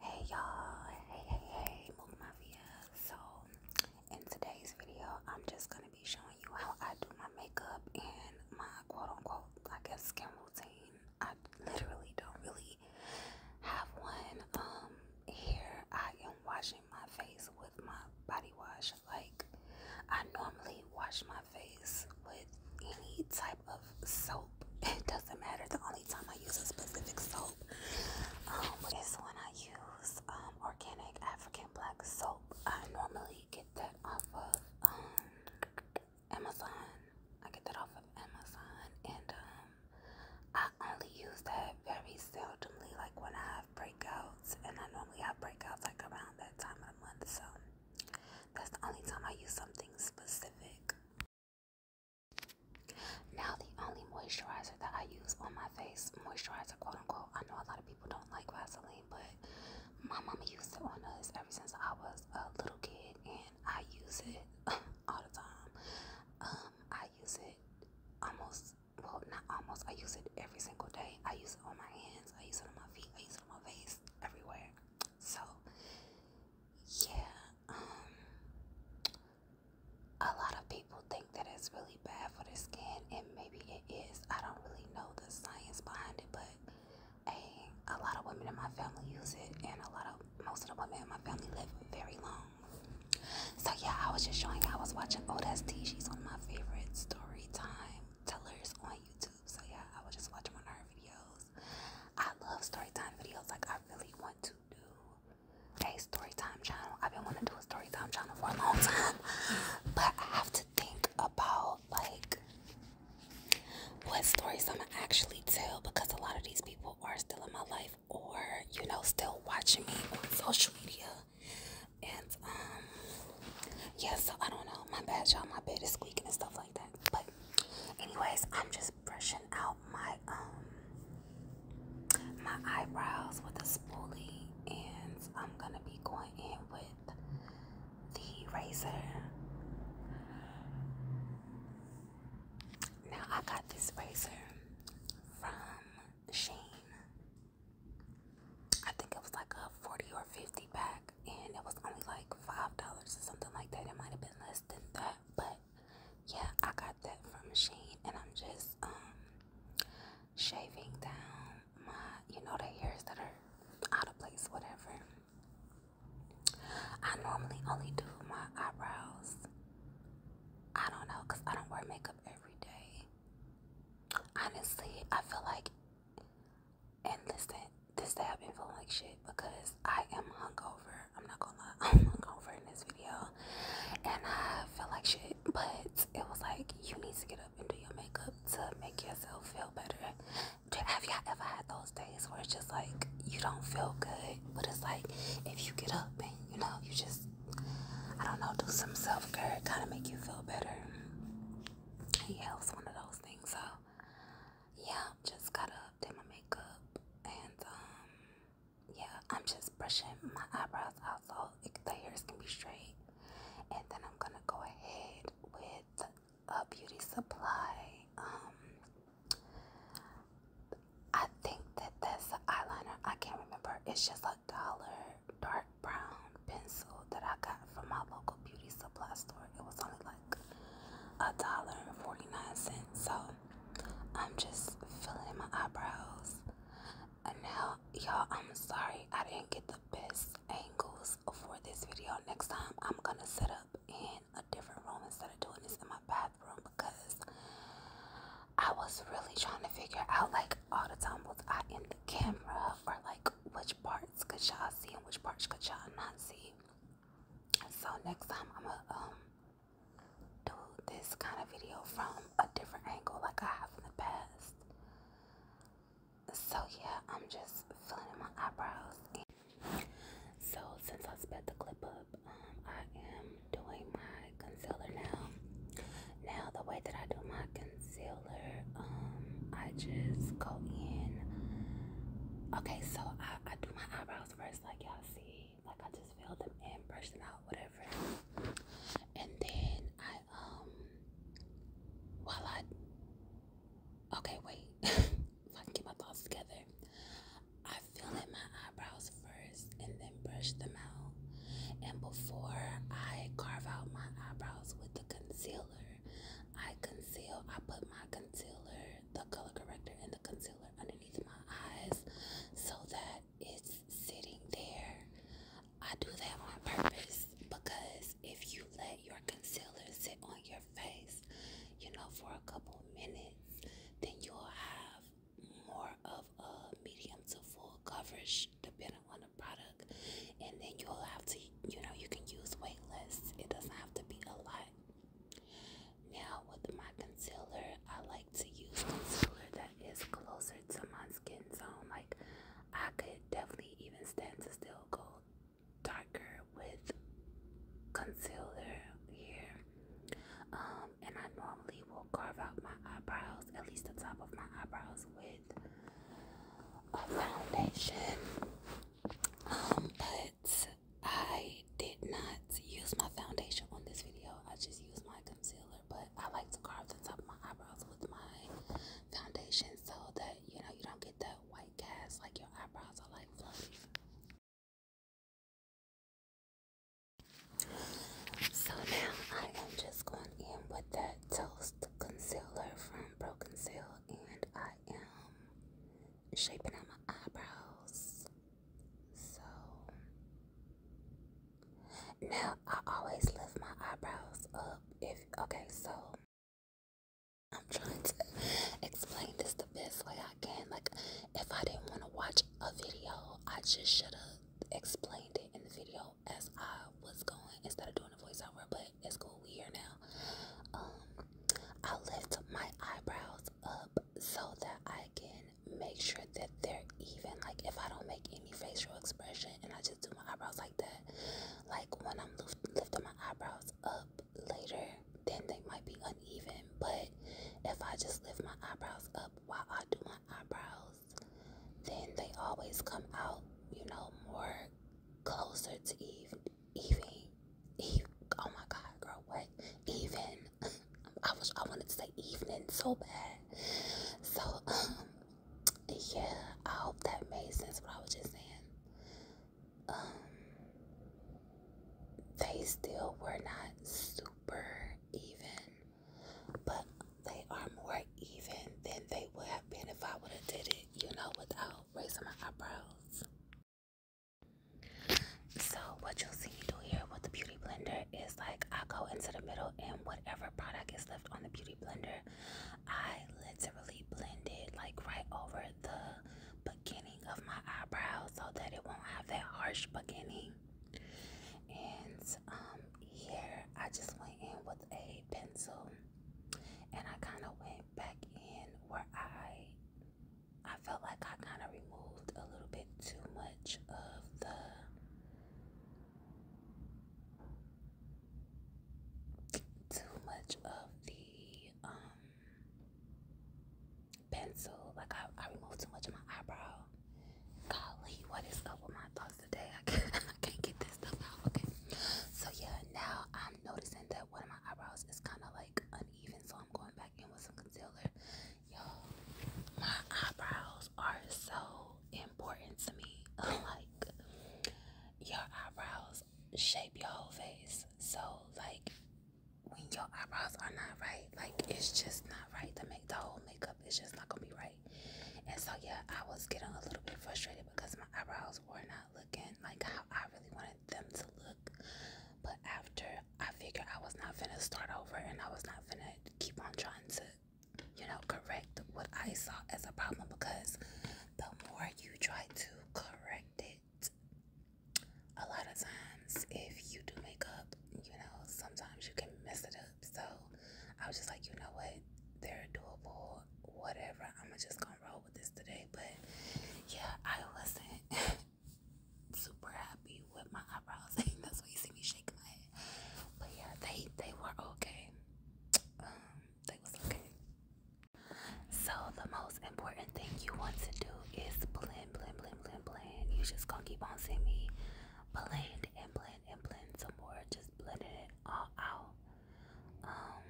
Hey y'all, hey hey hey, Mook Mafia. So in today's video, I'm just gonna be showing you how I do my makeup and my quote unquote, I guess, skin routine. I literally don't really have one. Um, here I am washing my face with my body wash. Like I normally wash my face with any type of soap. It doesn't matter. The only time I use a specific soap um, is when I use um, organic African black soap. I normally get that off of um, Amazon. I get that off of Amazon, and I only use that very seldomly, like when I have breakouts, and I normally have breakouts like around that time of the month. So that's the only time I use something specific. Now the only moisturizer that I use on my face, moisturizer quote unquote, I know a lot of people don't like Vaseline, but my mama used it on us ever since I was a little kid and I use it all the time. Um, I use it almost, well not almost, I use it every single day. I use it on my hands, I use it on my feet, I use it on my face, everywhere. So, yeah, um, a lot of people think that it's really bad for the skin, and maybe it is. I don't really know the science behind it, but hey, a lot of women in my family use it, and a lot of most of the women in my family live very long. So, yeah, I was just showing I was watching Old ST, she's one of my favorite story time tellers on YouTube. So, yeah, I was just watching one of her videos. I love story time videos. Like I really want to do a story time channel. I've been wanting to do a story time channel for a long time, but I have to think about like what stories I'm gonna actually tell because a lot of these people are still in my life or you know still watching me on social media. And um yeah, so I don't know. My bad, y'all. My bed is squeaking and stuff like that. But anyways, I'm just brushing out my um my eyebrows with a spoolie, and I'm gonna be going in with the razor. Now I got this razor from Shane. I think it was like a 40 or 50 pack and it was only like five dollars or something like that. It might have been less than that, but yeah, I got that from Sheen, and I'm just um shaving down my, you know, the hairs that are out of place, whatever. I normally only do my eyebrows. I don't know, cause I don't wear makeup every day. Honestly, I feel like and listen, this day I've been feeling like shit because I am hungover. I'm not gonna lie, I'm hungover in this video. And I feel like shit, but it was like, you need to get up and do your makeup to make yourself feel better. Have y'all ever had those days where it's just like, you don't feel good, but it's like, if you get up and, you know, you just, I don't know, do some self-care, kind of make you feel better. Yeah, it one of those things, so yeah just got up, did my makeup, and um, yeah, I'm just brushing my eyebrows out so the hairs can be straight. And then I'm gonna go ahead with a beauty supply. Um, I think that that's eyeliner. I can't remember. It's just a dollar dark brown pencil that I got from my local beauty supply store. It was only like a dollar and 49 cents. So I'm just filling my eyebrows. And now, y'all, I'm sorry I didn't get the best angles for this video. Next time, I'm gonna set up in a different room instead of doing this in my bathroom because I was really trying to figure out like all the time was I in the camera or like which parts could y'all see and which parts could y'all not see. So next time I'm gonna um do this kind of video from a different angle like I have in the past. So yeah, I'm just filling in my eyebrows. so since I sped the clip up, um, I am doing my concealer now. Now the way that I do my concealer, um, I just go in. Okay, so I I, do my eyebrows first, like y'all see. Like I just fill them in, brush them out, whatever. And then I um while I okay wait, if I can get my thoughts together, I fill in my eyebrows first and then brush them out. And before I carve out my eyebrows with the concealer, I conceal. I put my concealer the color corrector, and the concealer underneath my eyes so that it's sitting there. I do that on purpose because if you let your concealer sit on your face, you know, for a couple minutes, then you'll have more of a medium to full coverage depending on the product, and then you'll have to, you know, you can use weightless, it doesn't have to be a lot. Now with my concealer, I like to use concealer that is closer to my skin tone. Like I could definitely even stand to still go darker with concealer here. Um, and I normally will carve out my eyebrows, at least the top of my eyebrows, with a foundation. Um, but I did not use my foundation on this video. I just use my concealer, but I like to carve the top of my eyebrows with my foundation so that you know you don't get that white cast like your eyebrows are like fluffy. So now I am just going in with that toast concealer from Broken Seal, and I am shaping out my eyebrows. So now I always lift my eyebrows up. If okay, so I'm trying to explain this the best way I can. Like, if I didn't want to watch a video, I just should have explained it in the video as I was going instead of doing a voiceover. But like it's cool we here now. Um, I lift my eyebrows up so that I can make sure that they're even. Like if I don't make any facial expression and I just do my eyebrows like that, like when I'm lifting my eyebrows up later, then they might be uneven. But if I just lift my eyebrows up while I do my eyebrows, then they always come out, you know, more closer to even even even oh my god girl what even I was I wanted to say evening so bad so um yeah I hope that made sense what I was just saying um they still were not super even but they are more even than they would have been if I would have did it you know without raising my eyebrows so what you'll see me do here with the beauty blender is like I go into the middle and whatever product is left on the beauty blender, I literally blend it like right over the beginning of my eyebrow so that it won't have that harsh beginning. And um, here I just went in with a pencil and I kind of went back in where I I felt like I kind of removed a little bit too much of the too much of the um pencil. Like I, I removed too much of my eyebrow. Golly, what is up with my thoughts today? I can't, I can't get this stuff out. Okay, so yeah, now I'm i noticing that one of my eyebrows is kind of like uneven, so I'm going back in with some concealer. you my eyebrows are so important to me. like, your eyebrows shape your whole face. So, like, when your eyebrows are not right, like, it's just not right to make the whole makeup. It's just not gonna be right. And so, yeah, I was getting a little bit frustrated because my eyebrows were not looking like how I really wanted them to look. But after I figured I was not gonna start over and I was not gonna keep on trying to, you know, correct what I saw as a problem because the more you try to correct it, a lot of times if you do makeup, you know, sometimes you can mess it up. So I was just like, you know what? They're doable, whatever. I'm going to just gonna roll with this today, but yeah, I wasn't super happy with my eyebrows. That's why you see me shaking my head. But yeah, they they were okay. Um, they was okay. So the most important thing you want to do is blend, blend, blend, blend, blend. You just gonna keep on seeing me blend and blend and blend some more. Just blend it all out. Um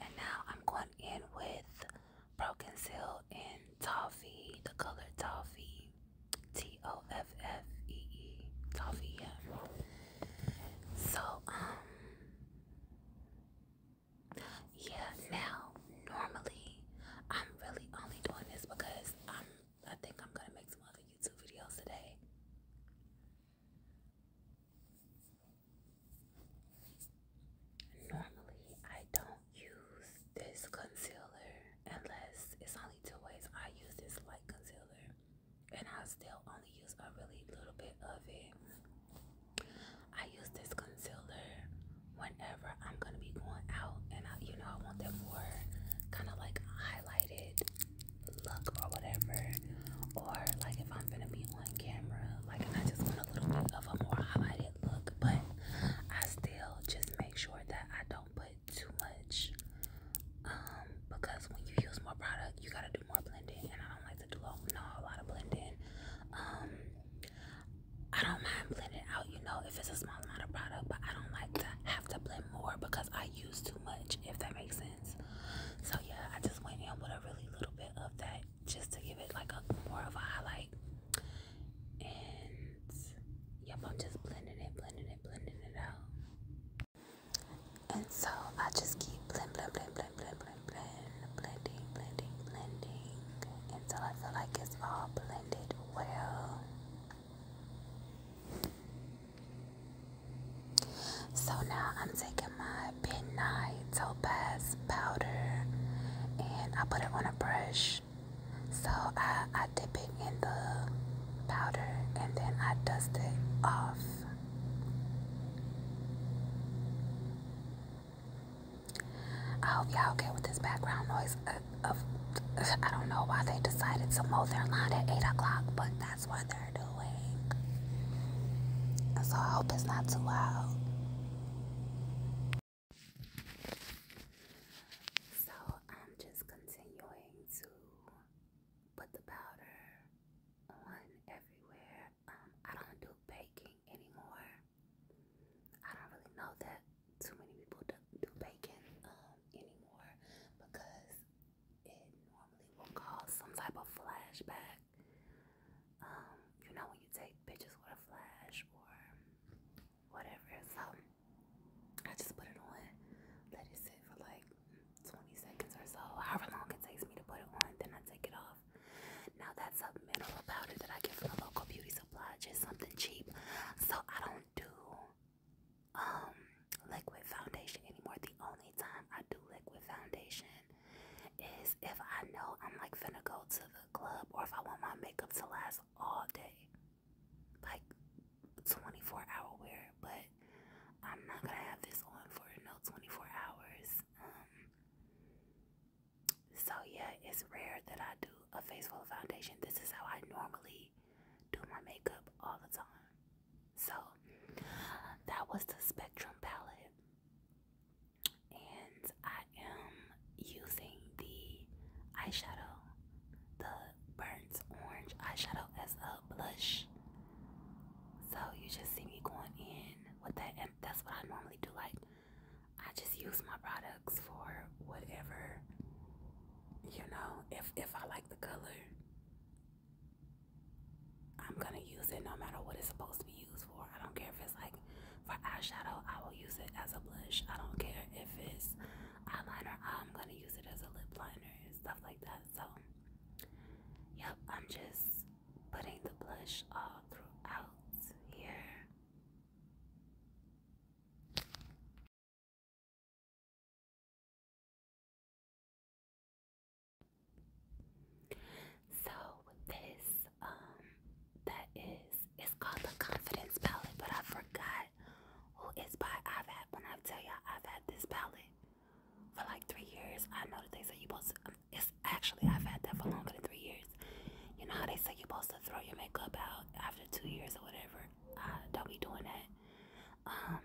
and now I'm going in with Broken Seal in Toffee, the color Toffee, T O F F E E, Toffee, yeah. So, um, yeah, now normally I'm really only doing this because I'm, I think I'm gonna make some other YouTube videos today. Normally, I don't use this concealer unless it's only two ways. I use this light concealer and I still only use a really little bit of it. I use this concealer whenever I'm going to be going out and I, you know, I want that more kind of like highlighted look or whatever, or like if I'm gonna be on camera, like I just want a little bit of a more highlighted look, but I still just make sure that I don't put too much um because when you use more product you gotta do more blending and I don't like to do a, no, a lot of blending. Um I don't mind blending out, you know, if it's a small amount of product, but I don't like to have to blend more because I use too much, if that makes sense. So yeah, I just went in with a really little bit of that just to give it like a more of a highlight. And yep, I'm just blending it, blending it, blending it out. And so I just keep blend, blend, blend, blend, blend, blend, blend, blending, blending, blending until I feel like it's all blended well. So now I'm taking my midnight topaz powder and I put it on a brush. So I, I dip it in the powder and then I dust it off. I hope y'all okay with this background noise. Uh, of, I don't know why they decided to mow their lawn at 8 o'clock, but that's that's what they're doing. So I hope it's not too loud. So I'm just continuing to put the powder on everywhere. Um, I don't do baking anymore. I don't really know that too many people do, do baking um, anymore because it normally will cause some type of flashback. Um, you know, when you take pictures with a flash or whatever. So I just put it on, let it sit for like 20 seconds or so, however long it takes me to put it on, then I take it off. Now, that's a mineral powder that I get from a local beauty supply, just something cheap. So I don't do, um, liquid foundation anymore. The only time I do liquid foundation is if I know I'm like finna go to the club or if I want my makeup to last all day. Like 24 hour wear, but I'm not gonna have this on for no 24 hours. Um, so yeah, it's rare that I do a face full of foundation. This is how I normally do my makeup all the time. So that was the Spectrum palette, and I am using the eyeshadow, the burnt orange eyeshadow, as a blush. So you just see me going in with that, and that's what I normally do. Like, I just use my products for whatever, you know, if, if I like the color. I'm gonna use it no matter what it's supposed to be used for. I don't care if it's like for eyeshadow, I will use it as a blush. I don't care if it's eyeliner, I'm gonna use it as a lip liner and stuff like that. So, yep, I'm just putting the blush all throughout here. So this, um, that is, it's called the Confidence Palette, but I forgot who it's by. I've had, when I tell y'all, I've had this palette for like three years. I know that they say you supposed to, um, it's actually, I've had that for longer than three years. You know how they say you're supposed to throw your makeup out after two years or whatever? I don't be doing that. Um,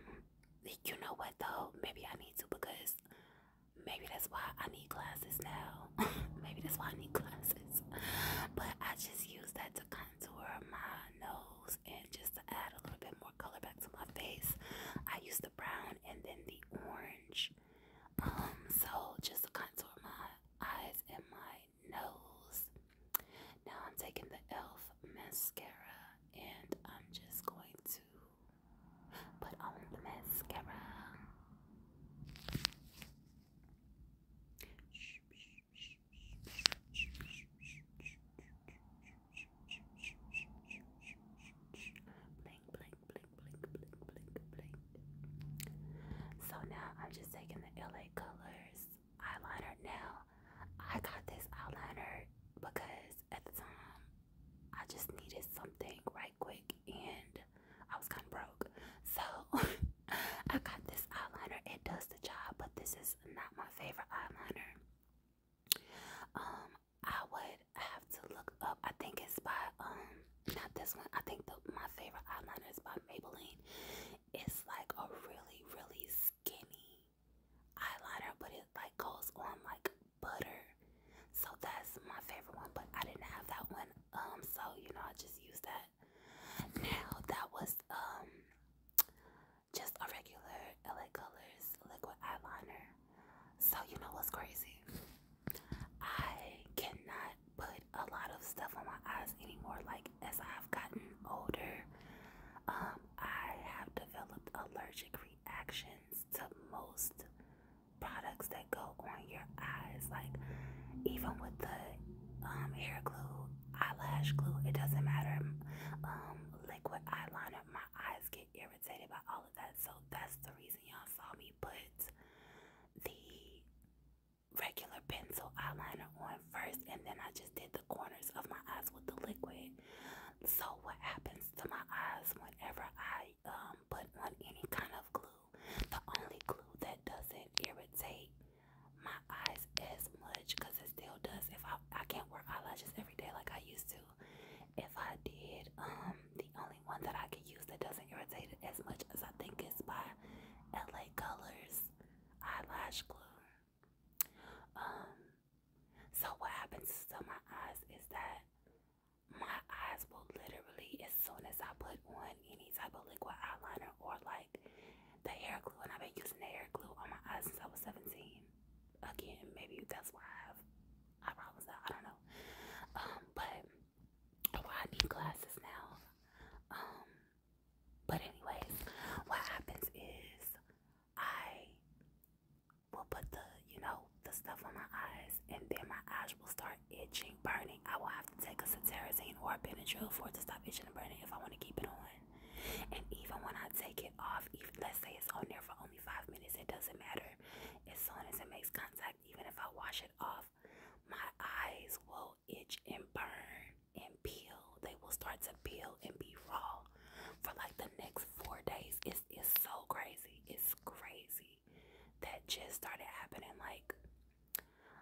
you know what though? Maybe I need to because maybe that's why I need glasses now. maybe that's why I need glasses. But I just use that to contour my nose and just to add a little bit more color back to my face. I use the brown and then the orange. Um, so just to contour my eyes and my nose. Now I'm taking the e.l.f. mascara and I'm just going to put on the mascara. Blink, blink, blink, blink, blink, blink, blink. So now I'm just taking the LA Colors eyeliner. Now I got this eyeliner because at the time I just needed something right quick and I was kind of broke. So I got this eyeliner. It does the job, but this is not my favorite eyeliner. Um, I would have to look up. I think it's by um not this one. I think the, my favorite eyeliner is by Maybelline. It's like a really really skinny eyeliner, but it like goes on like butter. So that's my favorite one, but I didn't have that one. Um, so you know, I just use that. Now that was um just a regular LA Colors liquid eyeliner. So you know what's crazy? I cannot put a lot of stuff on my eyes anymore. Like as I've gotten older, um, I have developed allergic reactions to most products that go on your eyes. Like even with the um, hair glue, eyelash glue, it doesn't matter. Um, liquid eyeliner, my eyes get irritated by all of that. So that's the reason y'all saw me put the regular pencil eyeliner on first, and then I just did the corners of my eyes with the liquid. So what happens to my eyes whenever I um put on any kind of glue? The only glue that doesn't irritate my eyes as much, cause it still does. If I I can't wear eyelashes every day like I used to. If I did, um, the only one that I can use that doesn't irritate it as much as I think is by LA Colors eyelash glue. Um, so what happens to my eyes is that my eyes will literally, as soon as I put on any type of liquid eyeliner or like the hair glue, and I've been using the hair glue on my eyes since I was 17. Again, maybe that's why I have eyebrows out. I don't know. Um, but I need glasses now. Um, but anyways, what happens is I will put the, you know, the stuff on my eyes, and then my eyes will start itching, burning. I will have to take a cetirizine or a Benadryl for it to stop itching and burning if I want to keep it on. And even when I take it off, even let's say it's on there for only five minutes, it doesn't matter. As soon as it makes contact, even if I wash it off, my eyes will itch and burn and peel. They will start to peel and be raw for like the next four days. It's it's so crazy. It's crazy that just started happening. Like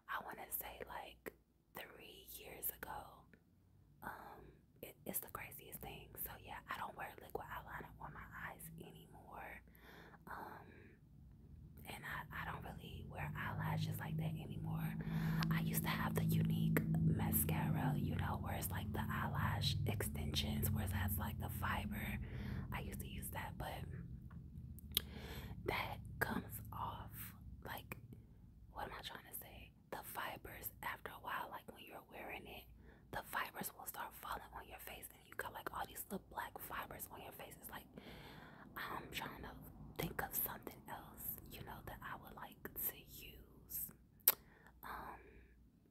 I want to say like three years ago. Um, it's the craziest thing. So yeah, I don't wear liquid eyeliner on my eyes anymore. Um, and I I don't really wear eyelashes like that anymore. I used to have the unique mascara, you know, where like the eyelash extensions, where it has like the fiber. I used to use that, but that comes off. Like, what am I trying to say? The fibers, after a while, like when you're wearing it, the fibers will start falling on your face, and you got like all these little black fibers on your face. It's like, I'm trying to think of something else, you know, that I would like to use um,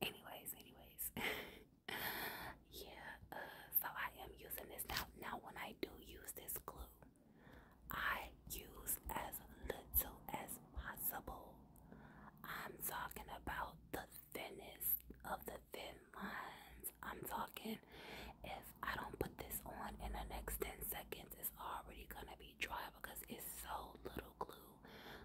anyways, anyways. yeah, uh, so I am using this now. Now when I do use this glue, I use as little as possible. I'm talking about the thinnest of the thin lines. I'm talking if I don't put this on in the next 10 seconds, it's already gonna be dry because it's so little glue.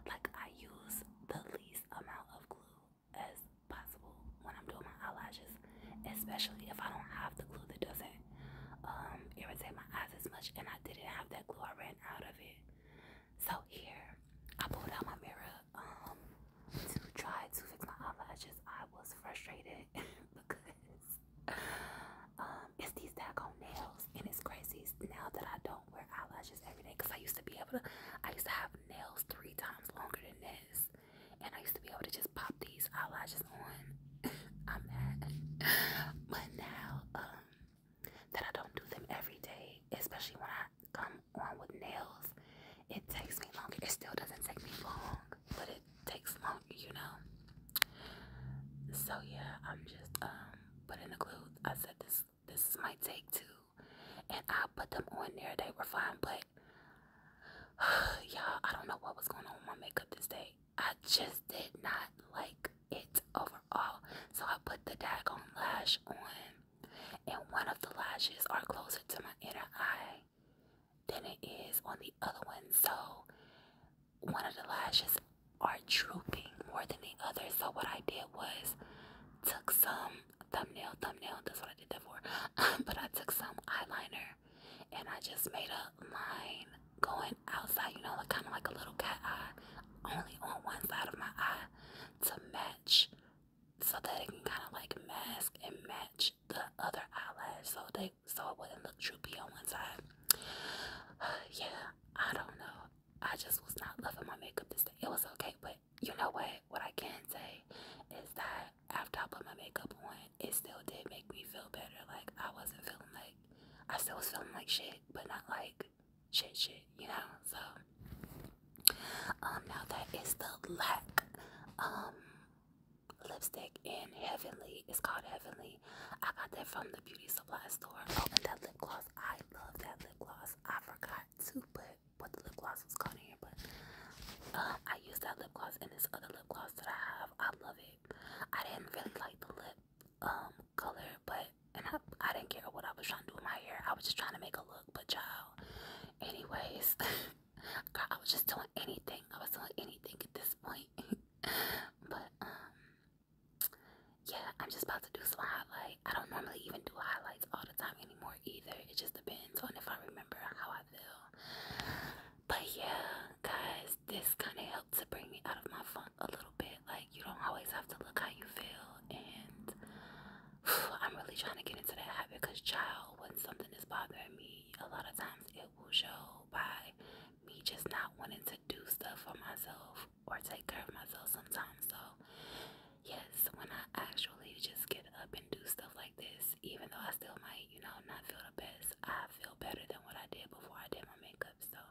Like I use the least amount of glue as possible when I'm doing my eyelashes, especially if I don't have the glue that doesn't um, irritate my eyes as much. And I didn't have that glue; I ran out of it. So here, I pulled out my mirror um, to try to fix my eyelashes. I was frustrated because um, it's these daggone nails, and it's crazy now that I don't wear eyelashes every day. Cause I used to be able to, I used to have nails three times longer than this, and I used to be able to just pop these eyelashes on. I'm mad, but now um, that I don't do them every day, especially when I come on with nails, it takes me longer. It still doesn't take me long, but it takes longer you know. So yeah, I'm just um, putting the clues. I said this this is my take too, and I put them on there. They were fine, but y'all, I don't know what was going on with my makeup this day. I just did not like it overall. So I put the daggone lash on, and one of the lashes are closer to my inner eye than it is on the other one. So one of the lashes are drooping more than the other. So what I did was took some thumbnail, thumbnail, that's what I did that for. but I took some eyeliner and I just made a line going outside, you know, like kind of like a little cat eye, only on one side of my eye to match so that it can kind of like mask and match the other eyelash. So they so it wouldn't look droopy on one side. yeah, I don't know. I just was not loving my makeup this day. It was okay, but you know what? What I can say is that after I put my makeup on, it still did make me feel better. Like I wasn't feeling like I still was feeling like shit, but not like shit shit, you know? So um now that is the lack um lipstick in Heavenly. It's called Heavenly I got that from the beauty supply store. Oh, and that lip gloss. I love that lip gloss. I forgot to put what the lip gloss was called in here, but uh, I used that lip gloss and this other lip gloss that I have. I love it. I didn't really like the lip um, color, but and I, I didn't care what I was trying to do with my hair. I was just trying to make a look, but y'all, Anyways, God, I was just doing anything. I was doing anything at this point. but um yeah, I'm just about to do some highlight. I don't normally even do highlights all the time anymore either. It just depends on if I remember how I feel. But yeah, guys, this kind of helped to bring me out of my funk a little bit. Like, you don't always have to look how you feel. And I'm really trying to get into that habit because, child, when something is bothering me, a lot of times it will show by me just not wanting to do stuff for myself or take care of myself sometimes. So, yes, when I actually just get up and do stuff like this, even though I still might, you know, not feel the best, I feel better than what I did before I did my makeup. So,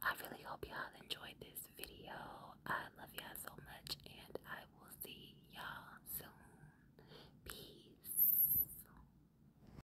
I really hope y'all enjoyed this video. I love y'all so much, and I will see y'all soon. Peace.